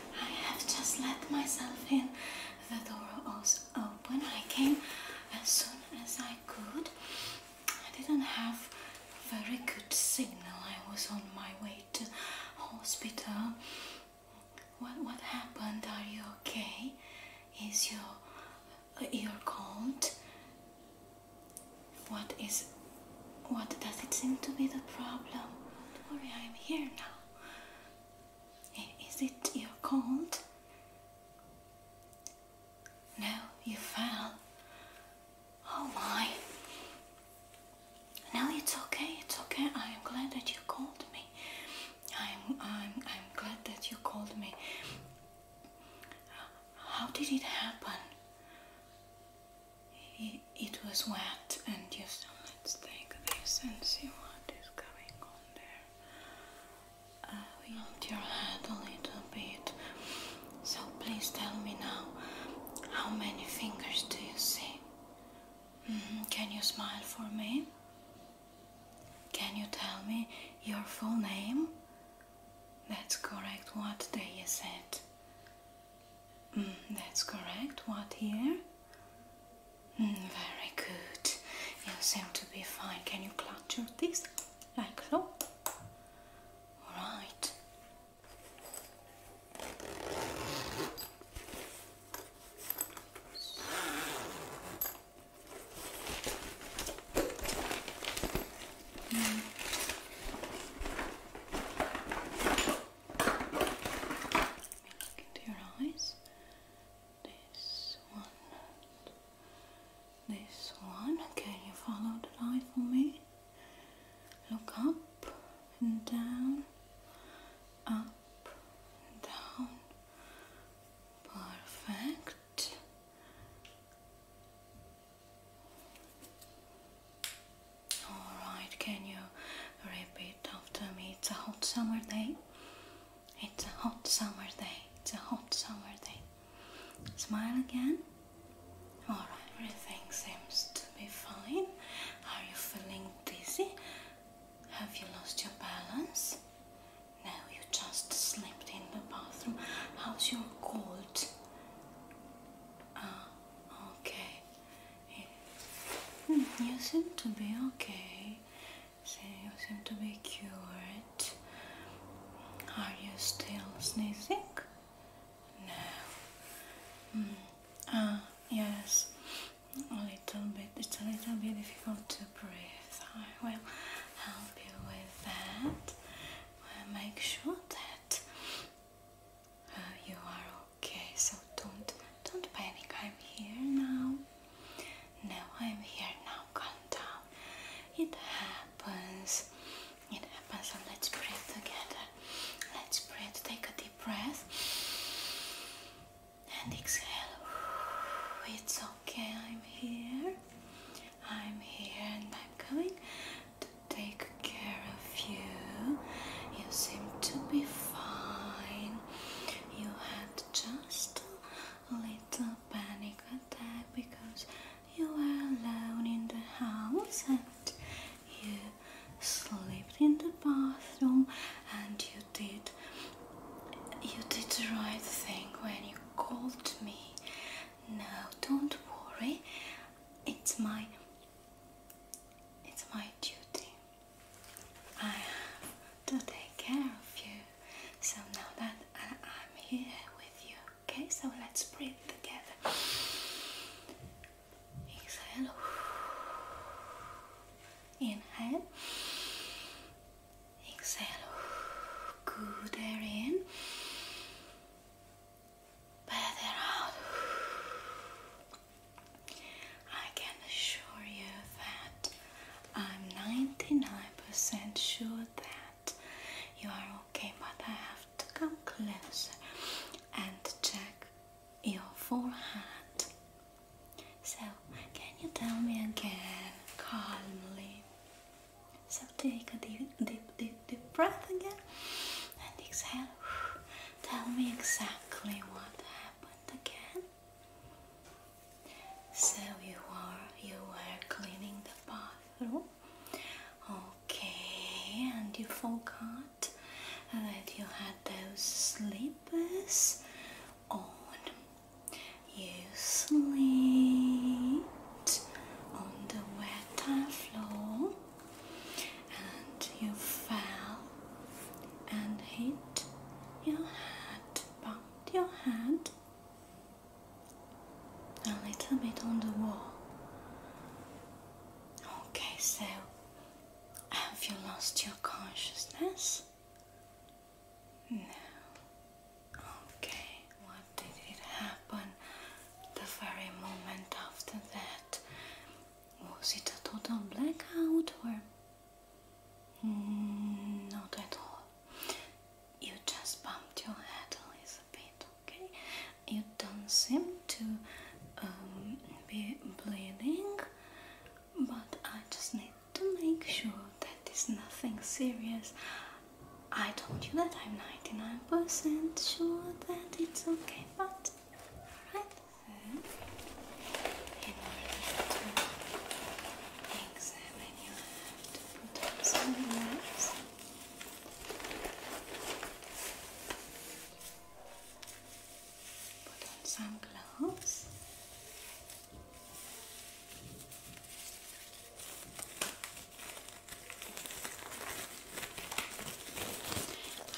I have just let myself in. The door was open. I came as soon as I could. I didn't have very good signal. I was on my way to hospital. What what happened? Are you okay? Is your ear cold? What is what does it seem to be the problem? Don't worry, I am here now. Is it your cold? No, you fell. Oh my. No, it's okay, it's okay. I am glad that you called me. I'm, I'm, I'm glad that you called me. How did it happen? it was wet and you just let's take this and see what is going on there. Uh, we helped your head a little bit. So please tell me now, how many fingers do you see? Mm-hmm. Can you smile for me? Can you tell me your full name? That's correct. What day is it? Mm, that's correct. What here? Mm, very good. You seem to be fine. Can you clutch your this like so? Alright. Mm. Look into your eyes. This one. This one. Can you follow the light for me? Look up and down. Up and down. Perfect. Alright, can you repeat after me? It's a hot summer day. It's a hot summer day. It's a hot summer day. Smile again. Alright, everything seems to be fine. Are you feeling dizzy? Have you lost your balance? No, you just slipped in the bathroom. How's your cold? Ah, okay. Hmm, you seem to be okay. See, you seem to be cured. Are you still sneezing? No. Hmm, ah, yes. A little bit. It's a little bit difficult to breathe. I will help you with that. We'll make sure that uh, you are Okay, so don't don't panic. I'm here now. Now I'm here now. Calm down. It happens. It happens. So let's breathe together. Let's breathe. Take a deep breath and exhale. It's okay. I'm here. I'm here, and I'm going to take care of you. You seem to be fine you had just a little panic attack because you were alone in the house and you slept in the bathroom and you did you did the right thing when you called me. No, don't worry. It's my it's my duty. I have to take care of you. So now that I'm here with you, okay? So let's breathe together. Exhale. Inhale. Exhale. Good air in. Bad out. I can assure you that I'm 99% sure that you are okay, but I have to come closer and check your forehead. So, can you tell me again calmly? So, take a deep, deep, deep, deep breath again and exhale. Tell me exactly what happened again. So you were you were cleaning the bathroom. Okay, and you forgot that you had those slippers on. You slipped on the wet floor and you fell and hit your head, bump your head a little bit on the wall. Okay, so have you lost your consciousness? No. Okay, what did it happen the very moment after that? Was it a total blackout or Mm, not at all. You just bumped your head a little bit, okay? You don't seem to um, be bleeding, but I just need to make sure that it's nothing serious. I told you that I'm 99% sure that it's okay, but alright in order examine your hand Put on some gloves.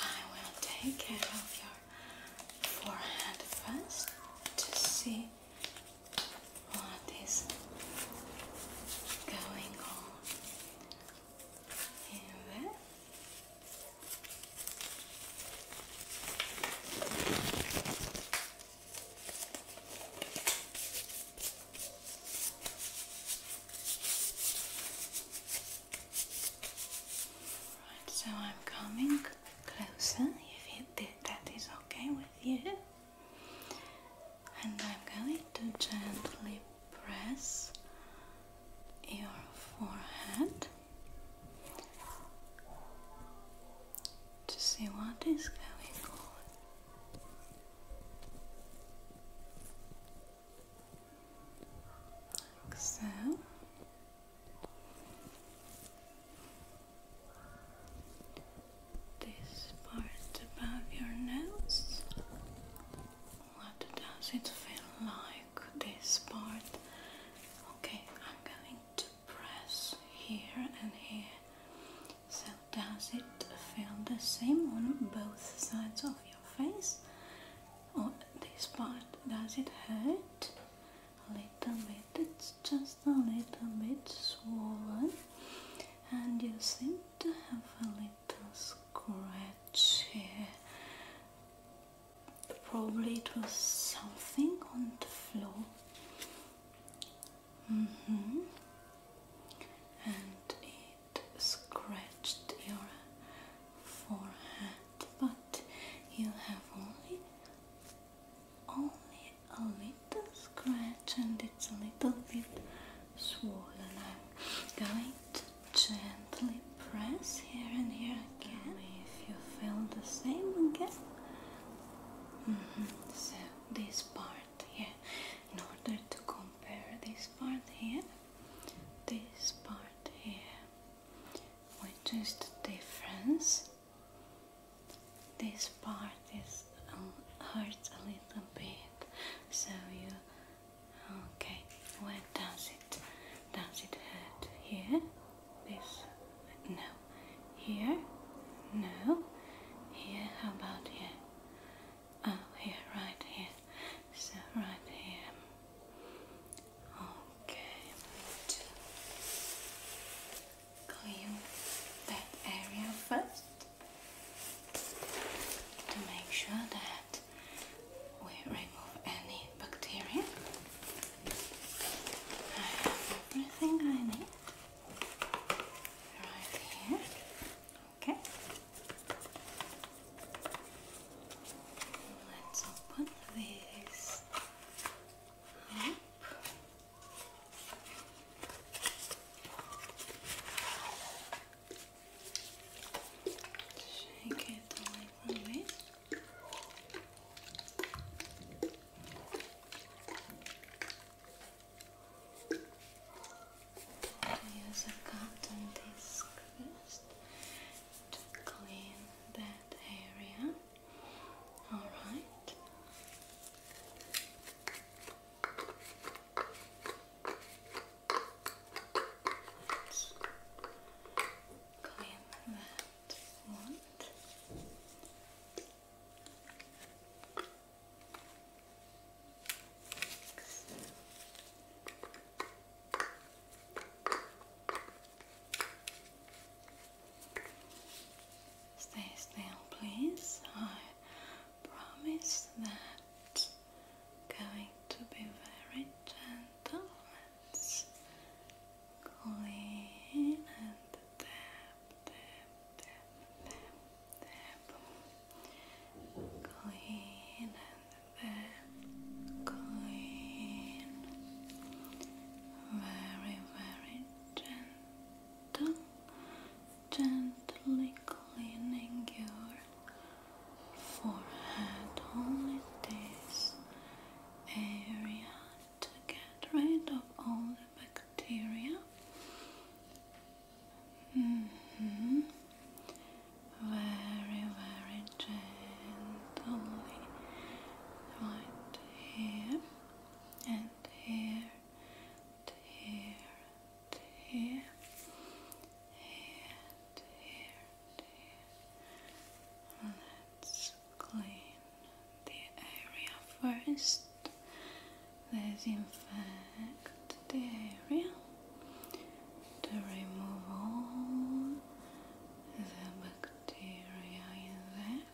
I will take care of your forehead first to see what is going on Right, so I'm coming closer if you did, that is okay with you. And I'm going to gently press your forehead to see what is going on. Like so. This part above your nose. What does it feel like? This part. Okay, I'm going to press here and here. So, does it feel the same on both sides of your face? Or this part? Does it hurt? a little bit, it's just a little bit swollen and you seem to have a little scratch here probably it was something on the floor mm -hmm. and it scratched your forehead but you have only only a little scratch and it's a little bit swollen. I'm going to gently press here and here again if you feel the same again. Mm-hmm. So this part here, in order to compare this part here, this part here, which is the difference? This part is um, hurts a little bit, so you okay. Where does it does it hurt? Here, this no. Here, no. Here, how about here? Oh, here, right here. So right here. Okay, I'm clean that area first to make sure that we remove any bacteria. I have everything I need right here. Okay. Let's open this Nope. Shake it a little bit. Use a cotton disc to clean that area. All clean that one. Stay still, please. I promise that going to be very gentle. let clean and tap, tap, tap, tap, tap. Clean and tap, clean very, very gentle, gently cleaning your forehead, only this area to get rid of all the bacteria. -hmm. Very, very gently, right here and here and here and here here and here and here let's clean the area first disinfect the area to remove all the bacteria in there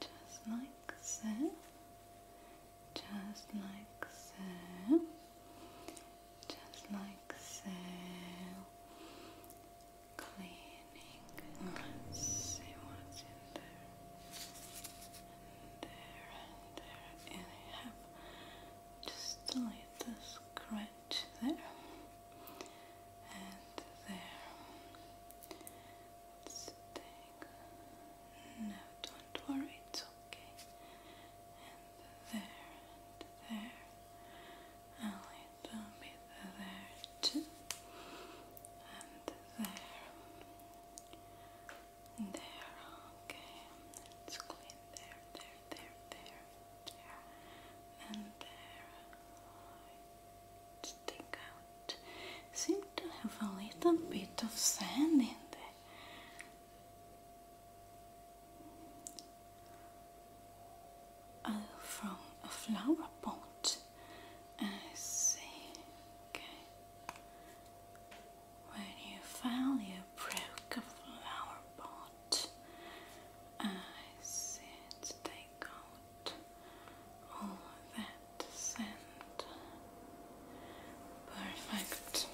just like so. Just like so. Just like so. Cleaning. Let's see what's in there. there and there. And I just a little scratch there and there. Let's take. No, don't worry, it's okay. And there, and there. A little bit there too. And there. There, okay. Let's clean there, there, there, there, there, and there. Right stick out. Seem to have a little bit of sand in there. Oh, from a flower pot. I see. Okay. When you fell, you broke a flower I see. It's take out all that sand. Perfect.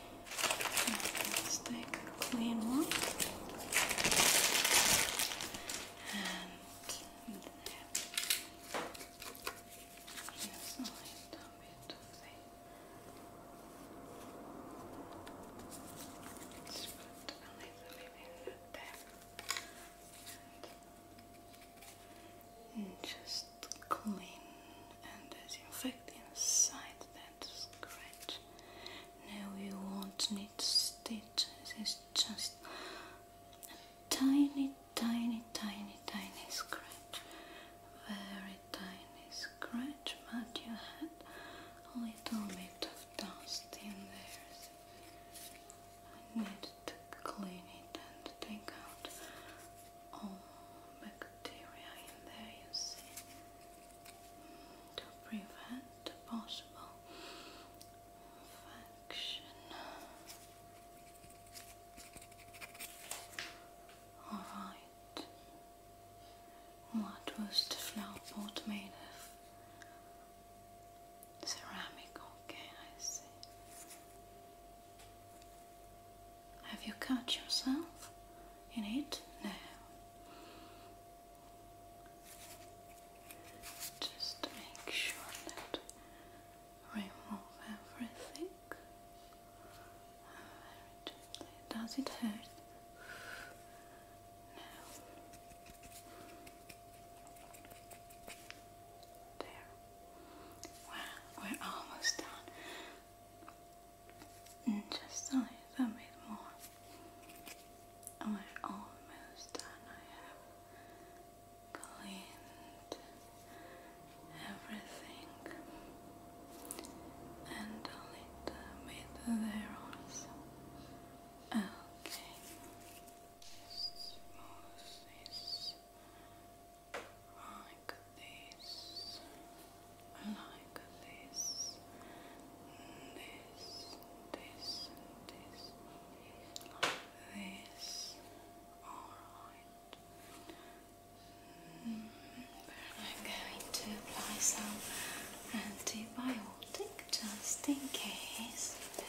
let clean one. And there. Here's a little bit of the let a little bit in there just clean and there's disinfect inside that scratch. Now you won't need stitches, it's just a tiny, tiny, tiny, tiny scratch. Very tiny scratch, but you had a little bit of dust in there. I need to clean it and take out all bacteria in there, you see, to prevent possible infection. Alright, what was the flower pot made of? Ceramic, okay, I see. Have you cut yourself in it? No. Just make sure that remove everything Does it hurt? No. There. Wow, we're almost done. just a little bit more. We're almost done. I have cleaned everything and a little bit there also. Okay smoothies like this, like this, this, this, this, like this. Alright. I'm going to apply some antibiotic just in case.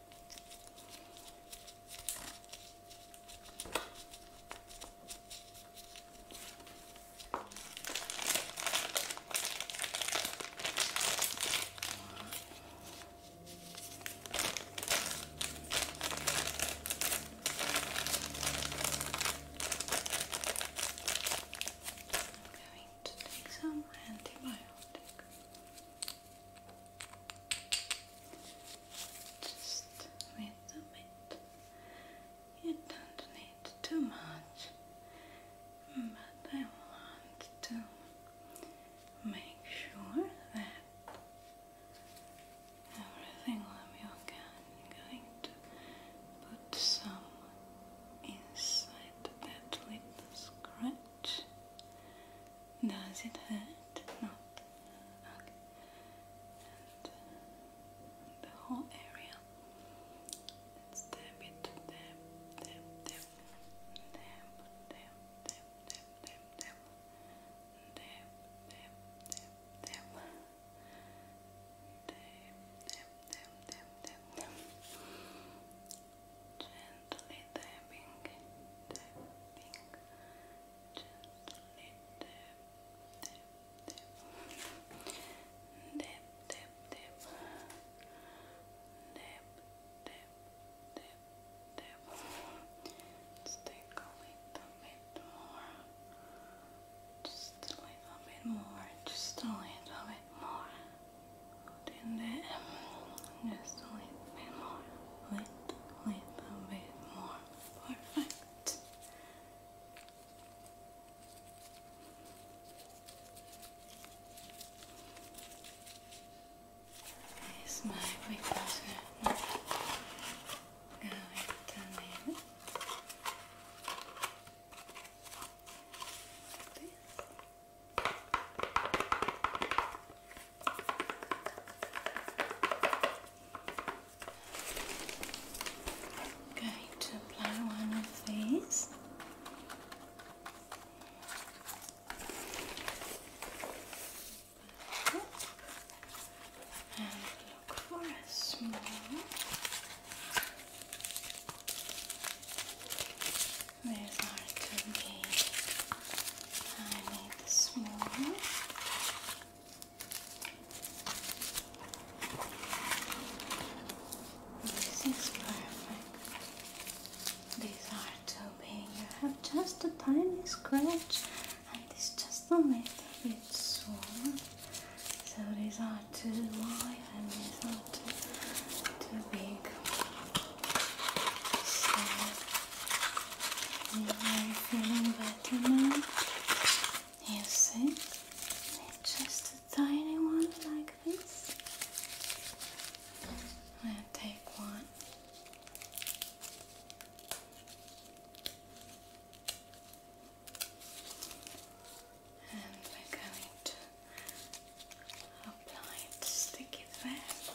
I'm going to take some antibiotic. Just a bit. You don't need too much, but I want to make sure that everything will be okay. going to put some inside that little scratch does it hurt? Not. the whole area gently tapping, tapping, gently tap, tap, a little bit more, just a little bit more, just a little bit more. just a little bit more, a little bit more perfect. This going to need like this going to apply one of these. And look for a small these are to I made this one. This is perfect. These are too big. You have just a tiny scratch, and it's just a little bit smaller. So these are too wide and these are too, too big. So, you feeling better now. You see? It's just a tiny one like this. I'll take one. And we're apply it stick it there.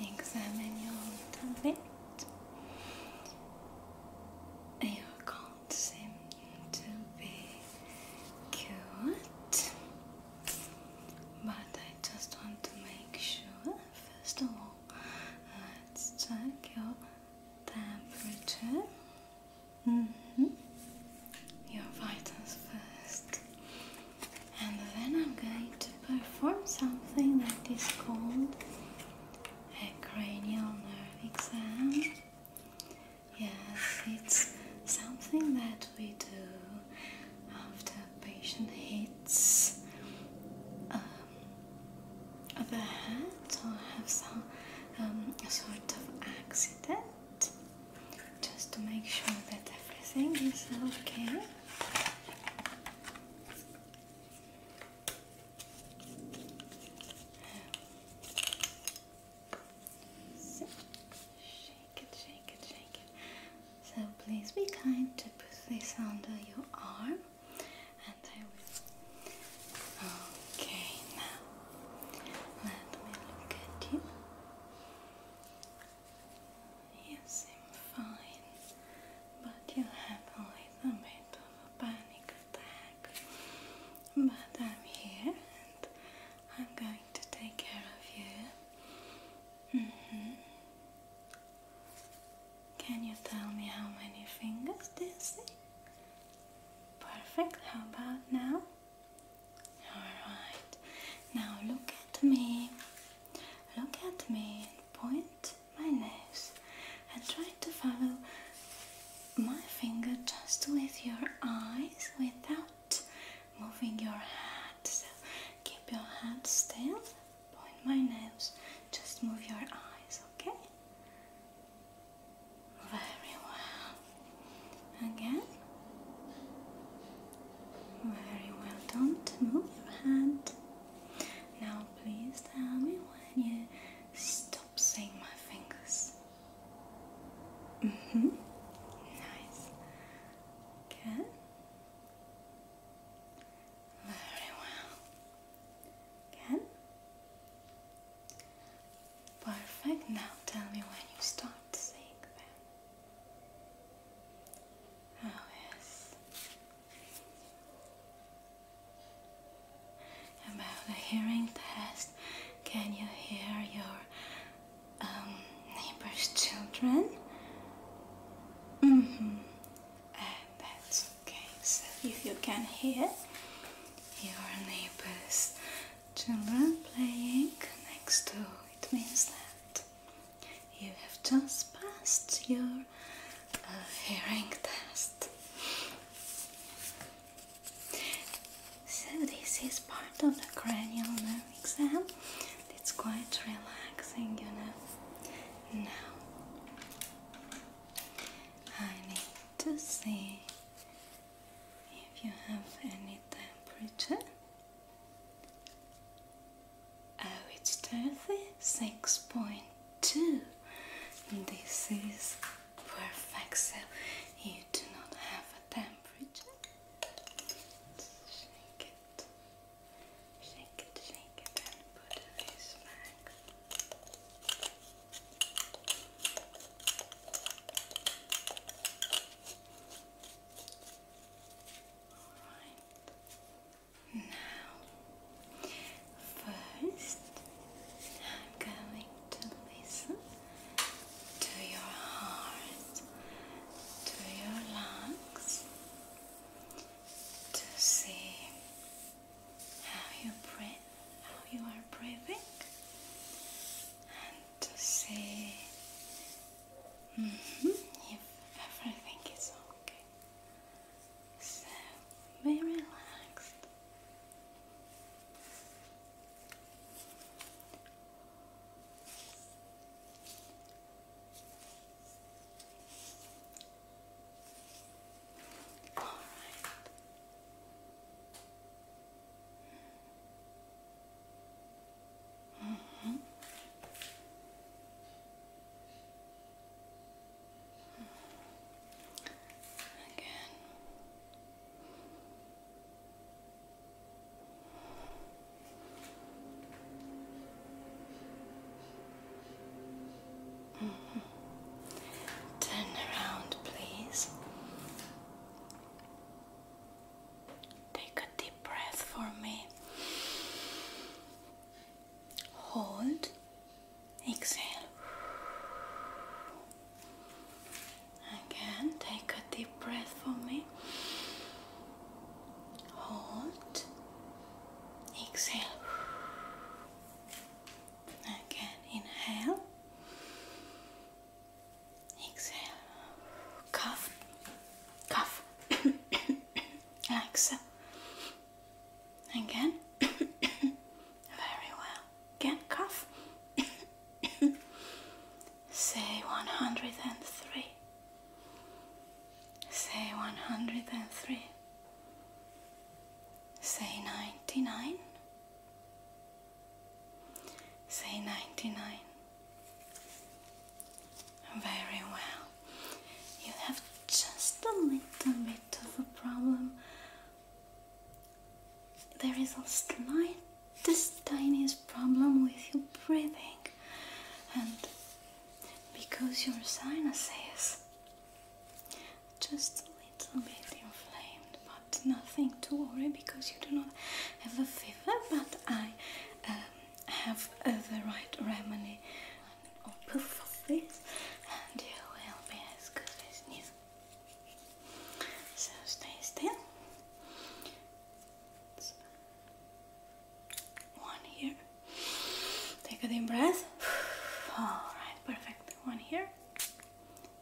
examine your tablet. You can't seem to be cute, but I just want to make sure. First of all, let's check your temperature. -hmm. Your vitals first, and then I'm going to perform something that is called a cranial nerve exam. Yes, it's something that we do after a patient hits um, the head or have some um, sort of accident, just to make sure that everything is okay. So, shake it, shake it, shake it. So, please be kind to put this under your arm, and I will. Okay, now let me look at you. You seem fine but you have a little bit of a panic attack. But I'm here and I'm going to take care of you. Mm-hmm. Can you tell me how many fingers do you see? Perfect. How about now? Alright. Now look at me. Look at me point my nose and try to follow my finger just with your eyes without moving your head. So keep your head still, point my nose, just move your eyes, okay? Very well. Again. Very well, do move your hand. Now please tell me when you stop seeing my fingers. hmm Nice. Good. Very well. Good. Perfect. Now tell me when you start seeing them. Oh yes. About the hearing test, can you hear your um, neighbor's children? Mm hmm that's okay. So if you can hear your neighbor's children playing next door, it means that you have just passed your a hearing test. So this is part of the cranial nerve exam. It's quite relaxing, you know. Now I need to see if you have any temperature. Oh, it's Dorothy 6.2. This is perfect, so you do not have a temperature. shake it, shake it, shake it, and put this back. Now, first, I'm going to listen to your heart, to your lungs, to see how you breathe, how you are breathing, and to see. Mm-hmm, if everything is okay, so be relaxed. All right. -hmm. Again. Mm Turn around, please. Take a deep breath for me. Hold Exhale. Again, take a deep breath for me. Hold. Exhale. Again, inhale. Exhale. Cough. Cough. like so. Again. Very well. Again, cough. Say 103. Say 103. Say 99. Say 99. Very well. You have just a little bit of a problem. There is a slightest tiniest problem with your breathing, and because your sinuses just a little bit inflamed, but nothing to worry because you do not have a fever. But I um, have the right remedy an and you will be as good as new. So stay still. one here. Take a deep breath. Alright, perfect. One here.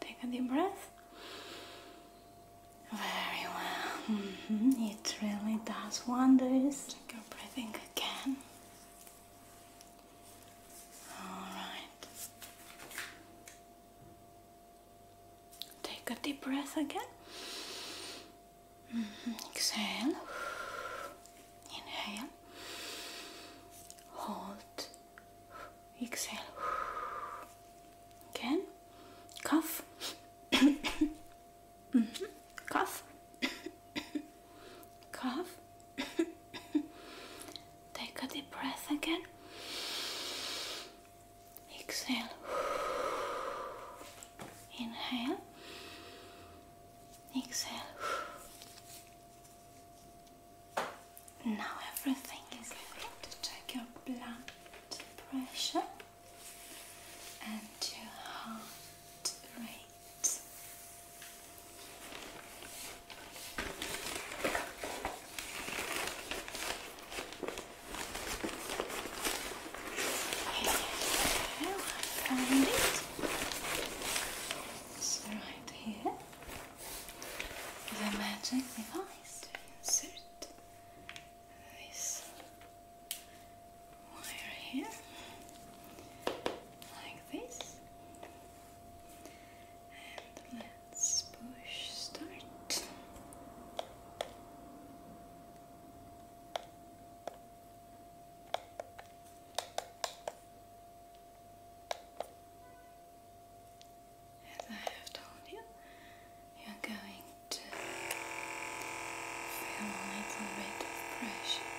Take a deep breath. Very well. Mm-hmm. It really does wonders. Take your breathing again. All right. Take a deep breath again. Mm-hmm. Exhale. Inhale. Hold. Exhale. Again. Cough. Mm-hmm. Cough. cough. Take a deep breath again. Exhale. Inhale. Exhale. Now everything is okay. to check your blood pressure and your heart rate great. There right here. The magic device insert this wire here, like this. And let's push start. As I have told you, you're going to feel a little bit of pressure.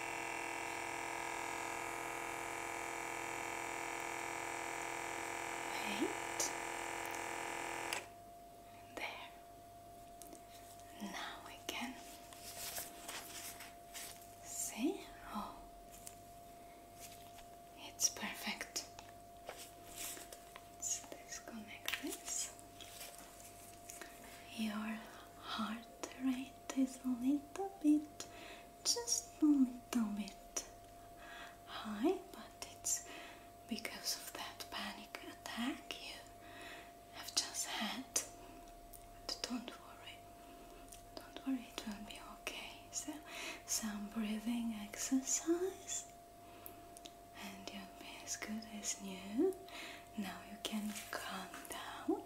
Eight. There. Now we see. Oh, it's perfect. Let's Your heart rate is a little bit just a little bit high, but it's because of that panic attack you have just had. But don't worry, don't worry, it will be okay. So, some breathing exercise, and you'll be as good as new. Now you can calm down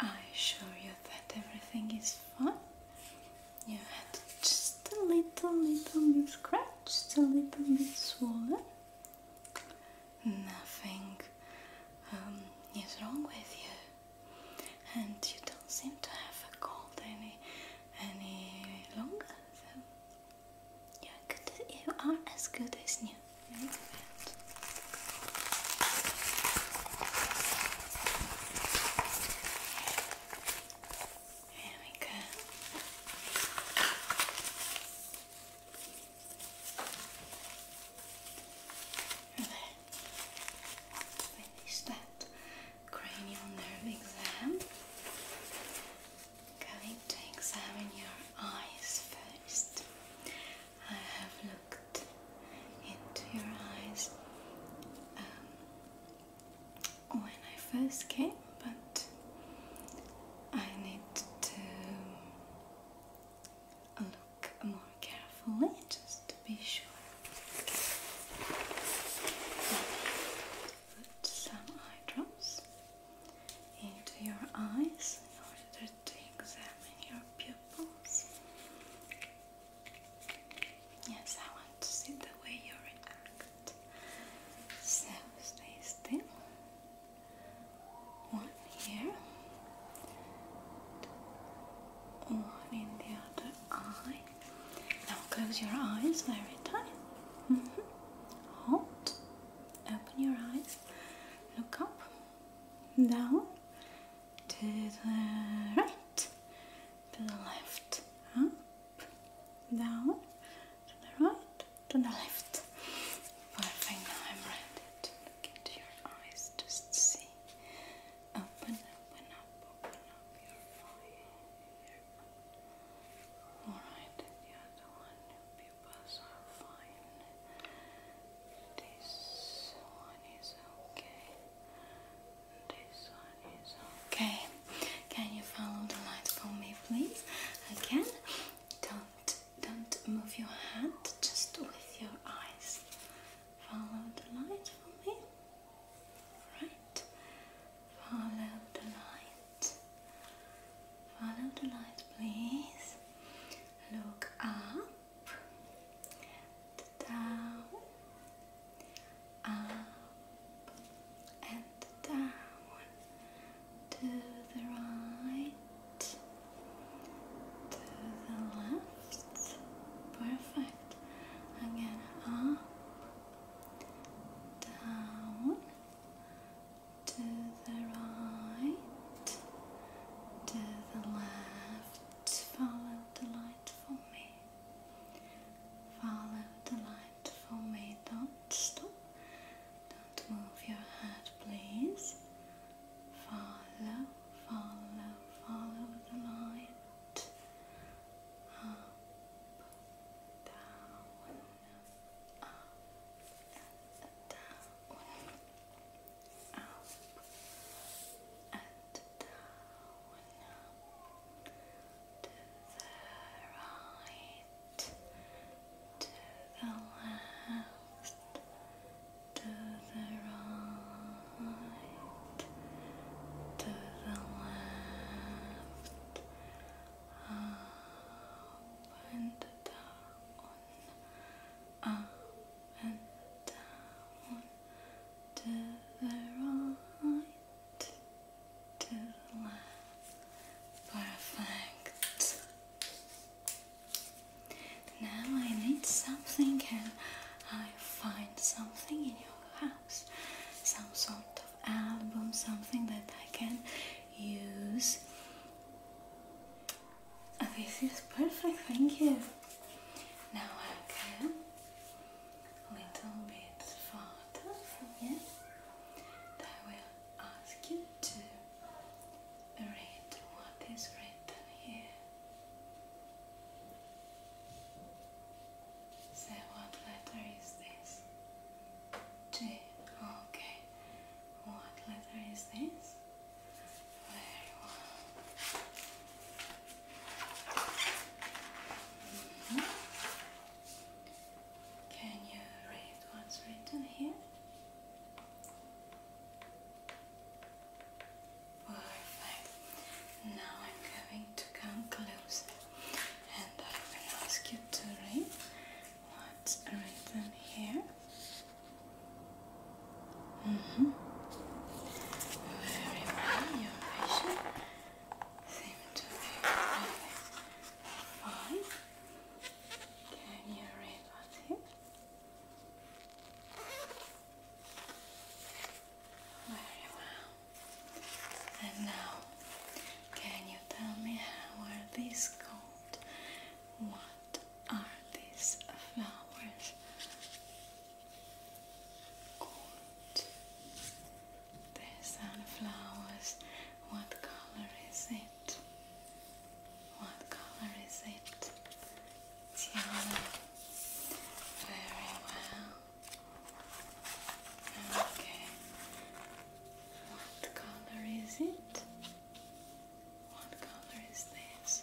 I assure you that everything is fine. You had just a little, little bit scratched, a little bit swollen. Nothing um, is wrong with you, and you don't seem to have a cold any any longer. So you're good. You are as good as new it. There we go. There. Finish that cranial nerve exam. Going to examine your eyes first. I have looked into your eyes um, when I first came, but I need to look more carefully just to be sure. Put some eye drops into your eyes in order to examine your pupils. Yes, I want to see the way you react. So stay still. One here, one in the other eye. Now close your eyes very tight. Mm Hold. Open your eyes. Look up. Down to the right, to the left, up, down, to the right, to the left. Perfect, now i look into your eyes, just see. Open, open up, open up your eye. Alright, the other one, your pupils are fine. This one is okay okay. Can you follow the light for me, please? Again, don't don't move your hand. Just with your eyes, follow the light for me. Right. Follow the light. Follow the light, please. Look up down, up and down, to the right, to the left, perfect, again up, down, to the right, to the left, follow the line. Follow the light for me. Don't stop. Don't move your head, please. Follow, follow, follow the light. Up, down, up, down up and down, to the right, to the left, to the right, to the left, up and down, up and down to the right, to the left. Perfect. Now I need something and I find something in your house. Some sort of album, something that I can use. This is perfect, thank you. Now again, a little bit farther from here, I will ask you to read what is written here. So what letter is this? G. Okay. What letter is this? Can you read what's written here? Perfect. Now I'm going to come and I will ask you to read what's written here. Mm Very well, your patient seems to be really fine. Can you read what's here? Very well. And now, can you tell me how are these called? What are these flowers? The sunflowers, what color is it? What color is it? It's Very well. Okay. What color is it? What color is this?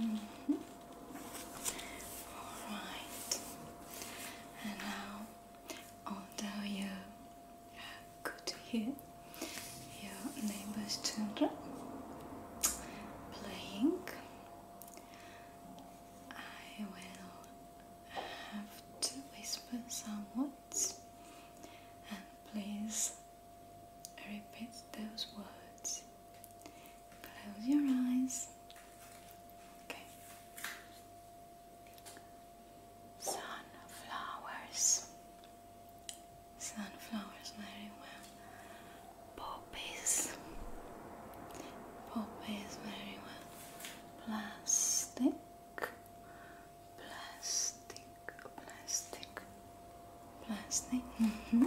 Mm-hmm. All right. And now, although you are good to hear your neighbor's children playing, I will have to whisper some words and please I repeat those words. Close your eyes. Okay. Sunflowers. Sunflowers very well. Poppies. Poppies very well. Plastic. Plastic. Plastic. Last name. Mm-hmm.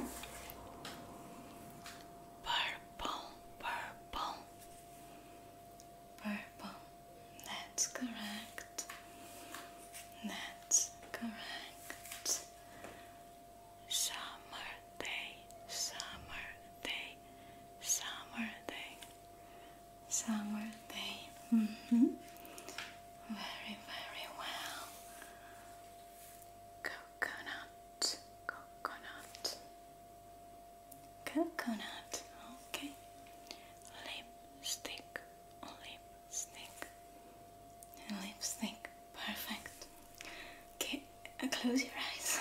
Purple, purple, purple. That's correct. That's correct. Summer day, summer day, summer day, summer day. Mm-hmm. Very, very well. Coconut, coconut, coconut. Okay. Lipstick, lipstick, lipstick. Perfect. Okay, uh, close your eyes.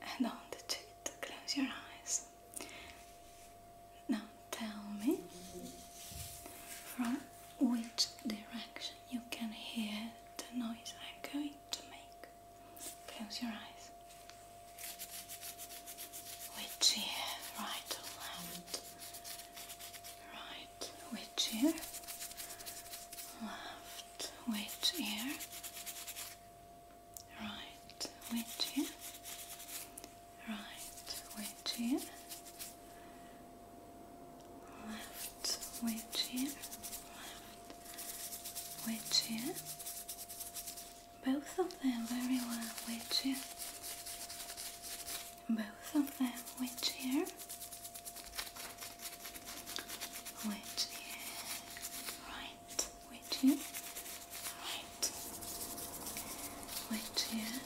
And on the close your eyes. Now tell me from which direction you can hear the noise I'm going to make. Close your eyes. Which ear, right left? Right, which ear? Left, which ear? Right, which ear? right wedge in, left wedge in, left wedge in. Both of them very well wedge in. Both of them wedge here, wedge here, right wedge in, right wedge here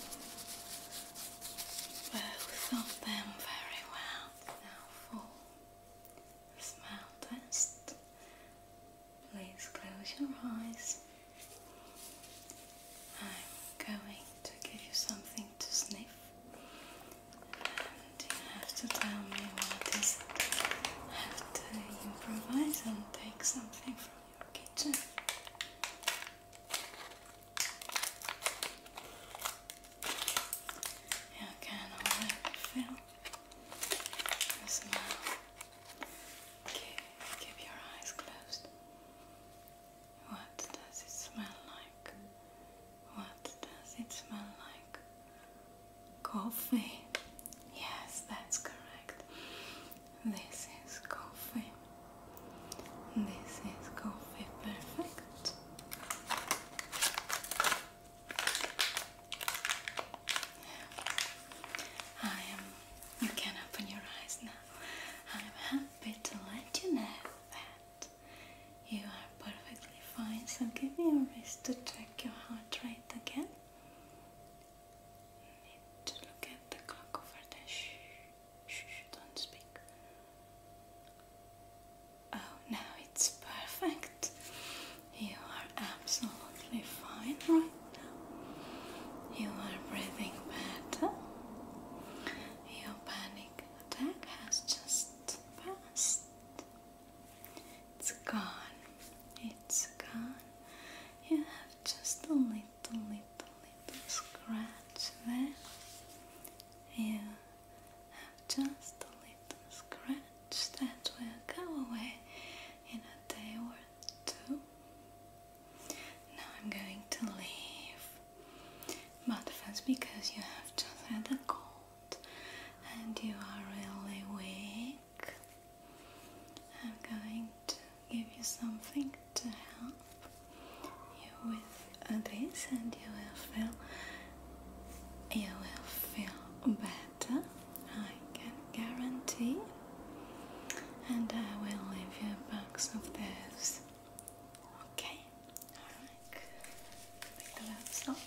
both of them very well. Now for the smell test, please close your eyes. I'm going to give you something to sniff, and you have to tell me what it is. I have to improvise and take something from your kitchen. Yeah, again, I'll let it Okay, keep your eyes closed. What does it smell like? What does it smell like? Coffee. Yes, that's correct. This is coffee. This is coffee perfect. I am. You can open your eyes now. I'm happy to let you know that you are perfectly fine. So give me your wrist to check your heart rate again. to look at the clock over there. Shh, don't speak. Oh, now it's perfect. You are absolutely fine right now. You are breathing better. Your panic attack has just passed. It's gone. It's gone. You have just a little, little, little scratch there. You have just a little scratch that will go away in a day or two. Now I'm going to leave. But first, because you have just had a cold and you are really weak, I'm going to give you something to help you with this and you will feel you will feel better I can guarantee and I will leave you a box of this okay alright take the gloves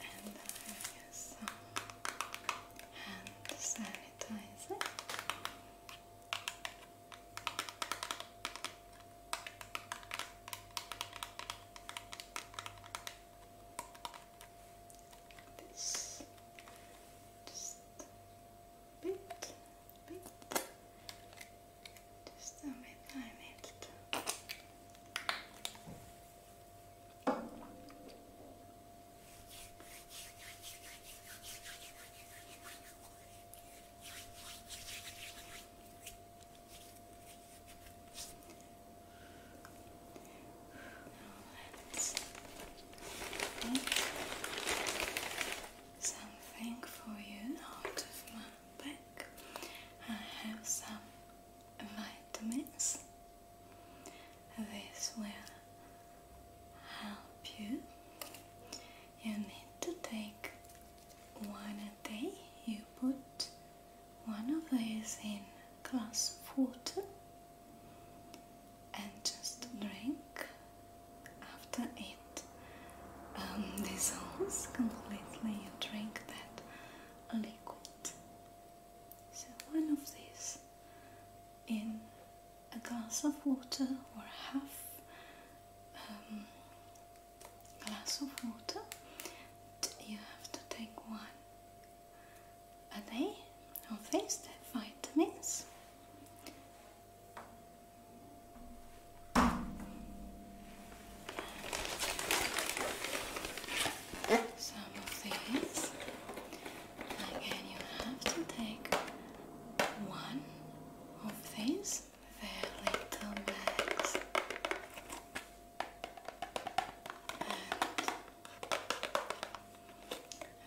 and I will this just a bit, bit, just a bit I something for you out of my bag. I have some vitamins. This will help you, you need to take one a day. You put one of these in glass of water and just drink after it um, dissolves completely. You drink that liquid. So, one of these in a glass of water or half um, glass of water, you have to take one a day of these vitamins. Some of these. Again, you have to take one of these bags, little bags,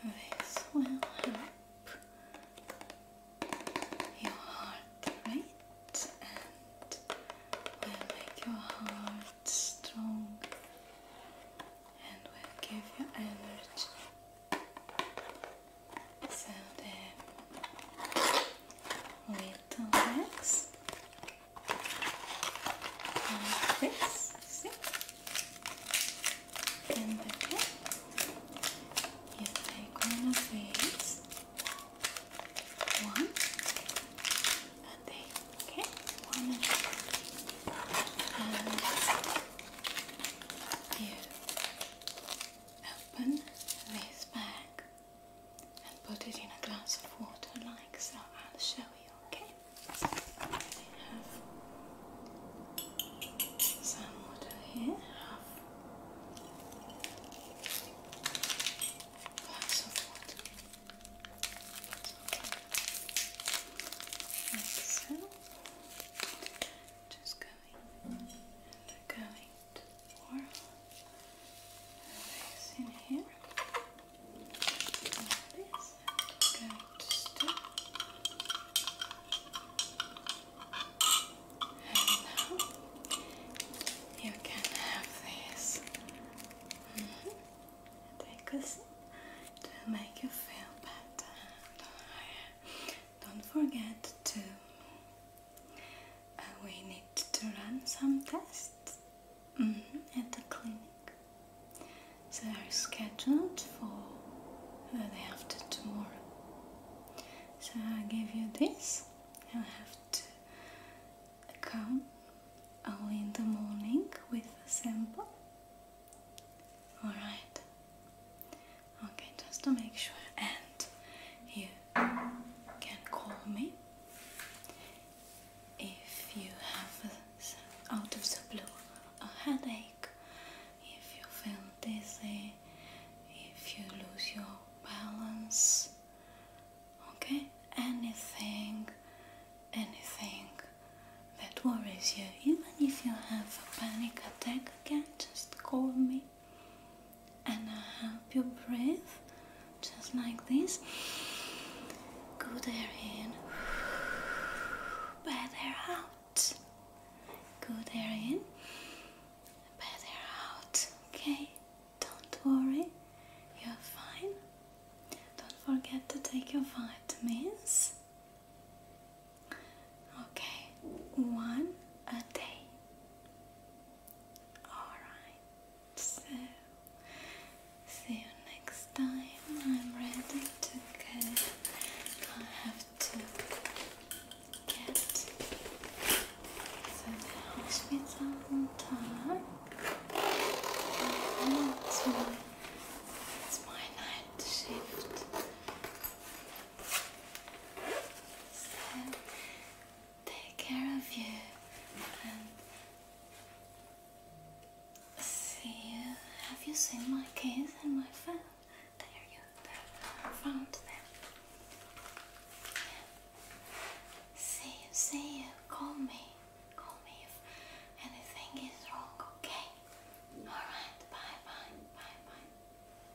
and this will help your heart rate and will make your heart strong and will give you energy so the little legs like this, And again, you take one of these, one, and and and you open this bag and put it in a glass of water like so. I'll show you, okay? We have some water here, glass of water. Like so. Just go they're going to form a in here this, and going to stop and now you can have this mm to make you feel better don't forget to uh, we need to run some tests mm, at the clinic. They are scheduled for uh, the afternoon. tomorrow. So I'll give you this. You'll have to come only in the morning with a sample. Alright. Okay, just to make sure. And you can call me if you have out of the blue a headache, if you feel dizzy, if you lose your balance. Okay, anything, anything that worries you, even if you have a panic attack again, just call me and I help you breathe just like this. Good air in, bad air out. Good air in, bad air out. Okay, don't worry, you're fine. Don't forget to take your vitamins. Okay, one a day. Alright, so see you next time. I'm ready to go. I have to get to the hospital on time. it's my night shift take care of you see you. Have you seen my keys and my phone? There you found them. See you, see you. Call me. Call me if anything is wrong, okay? Alright, bye bye, bye bye.